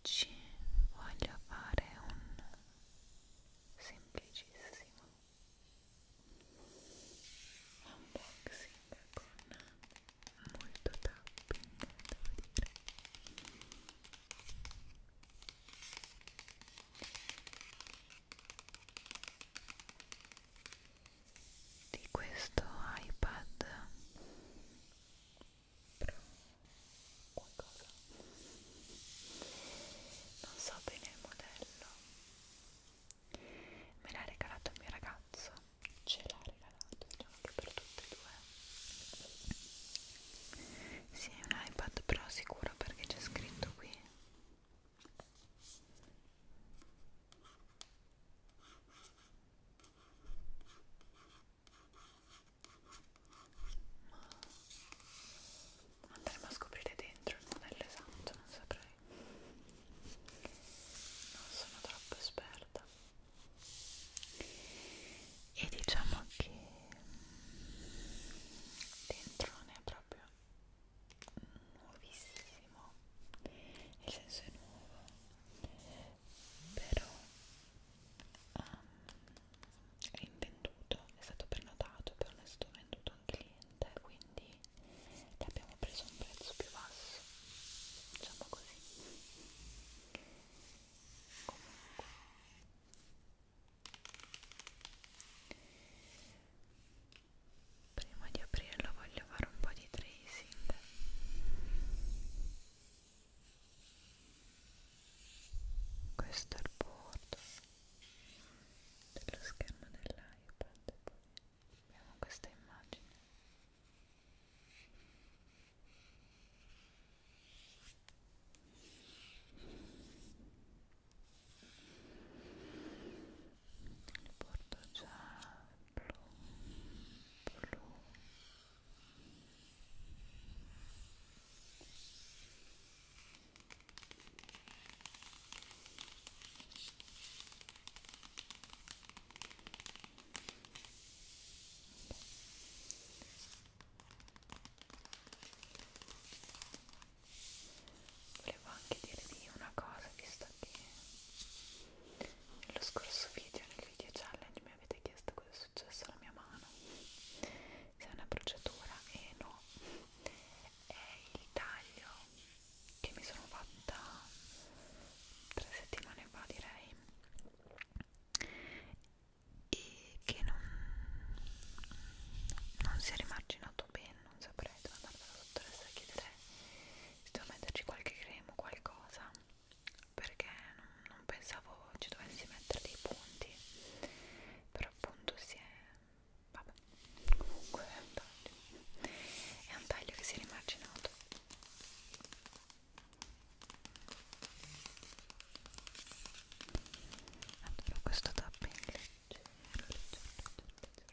Oggi voglio fare un semplicissimo unboxing con molto tapping devo dire di questo iPad Pro qualcosa non so bene il modello me l'ha regalato il mio ragazzo ce l'ha regalato diciamo che per tutte e due sì è un iPad Pro sicuro perché c'è scritto qui ma andremo a scoprire dentro il modello esatto non saprei non sono troppo esperta e diciamo che dentro non è proprio nuovissimo nel senso è nuovo però um, è invenduto è stato prenotato però non è stato venduto a un cliente quindi e abbiamo preso un prezzo più basso diciamo così comunque prima di aprirlo voglio fare un po' di tracing questo è il bordo dello schermo dell'iPad poi abbiamo questa immagine il bordo già blu blu Volevo anche dirvi una cosa, visto che nello scorso video, nel video challenge, mi avete chiesto cosa è successo alla mia mano, se è una bruciatura e no, è il taglio che mi sono fatta tre settimane fa direi e che non, non si è rimarginato bene, non saprei dove andare dalla dottoressa a chiedere se devo metterci qualche crema o qualcosa perché non, non pensavo ci dovessi mettere dei punti però appunto si è vabbè comunque è un taglio è un taglio che si è rimarginato allora questo tapping leggero leggero leggero leggero, leggero.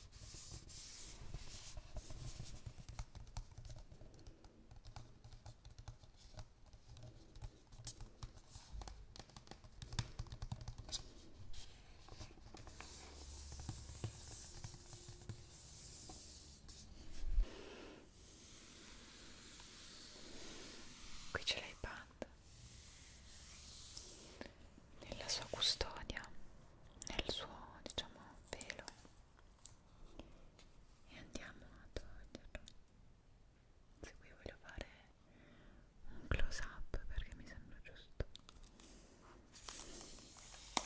Qui c'è l'iPad nella sua custodia, nel suo diciamo velo e andiamo a toglierlo se qui voglio fare un close up perché mi sembra giusto ok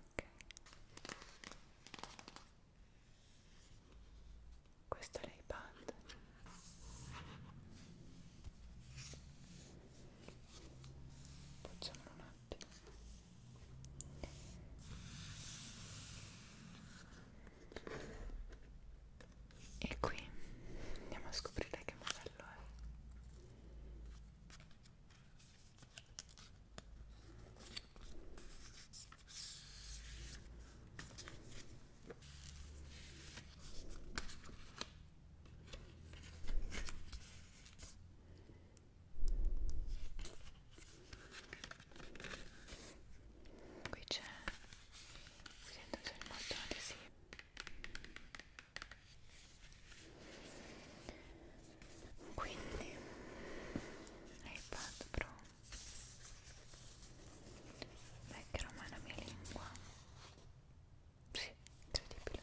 ok questo è l'iPad facciamolo un attimo e qui andiamo a scoprire che modello è qui c'è sento già il bottone adesivo quindi iPad Pro vecchia romana mia lingua sì, incredibile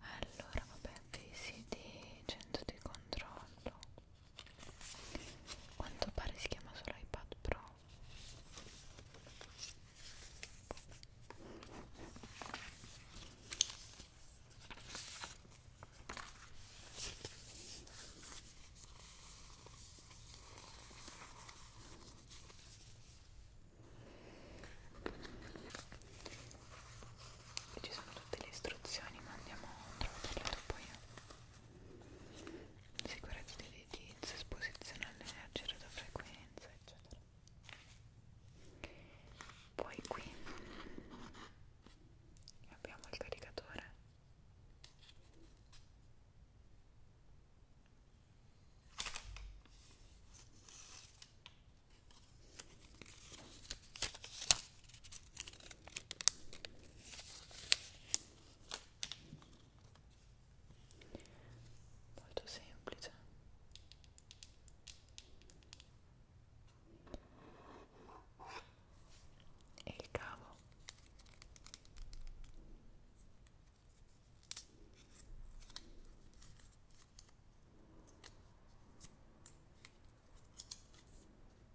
allora vabbè, visi di centro di controllo quanto pare si chiama solo iPad Pro ci sono tutte le istruzioni ma andiamo a trovarle dopo io sicurezza dell'edilizia, esposizione all'energia, radiofrequenza, eccetera. Poi qui abbiamo il caricatore molto semplice e il cavo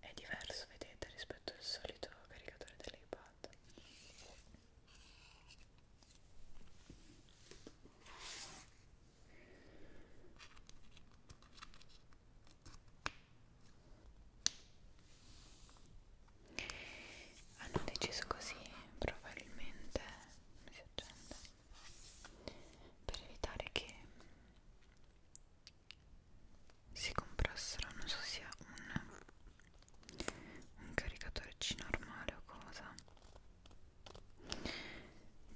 è diverso vedete rispetto al solito caricatore dell'iPad hanno deciso così probabilmente si accende per evitare che si comprassero non so sia un, un caricatore C normale o cosa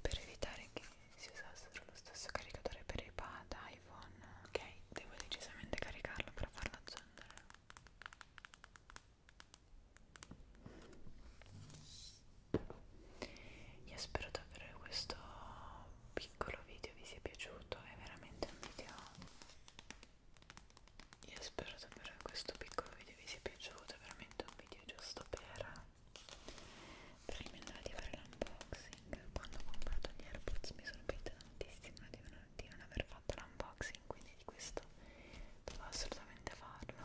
per evitare che si usassero lo stesso caricatore per iPad, iPhone ok devo decisamente caricarlo per farlo accendere io spero davvero che questo piccolo video vi sia piaciuto, è veramente un video... Io spero davvero che questo piccolo video vi sia piaciuto, è veramente un video giusto per, per eliminare di fare l'unboxing. Quando ho comprato gli AirPods mi sono pentita tantissimo di, una, di non aver fatto l'unboxing, quindi di questo devo assolutamente farlo.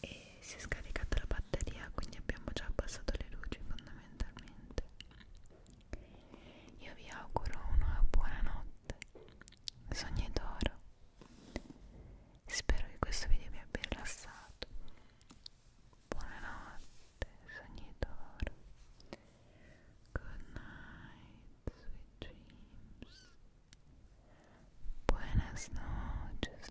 E si è scaricata la batteria, quindi abbiamo già abbassato le luci fondamentalmente io vi auguro una buona notte, sognetoro. Spero che questo video vi abbia rilassato. Buonanotte, sognetoro. Good night, sweet dreams. Buenas noches.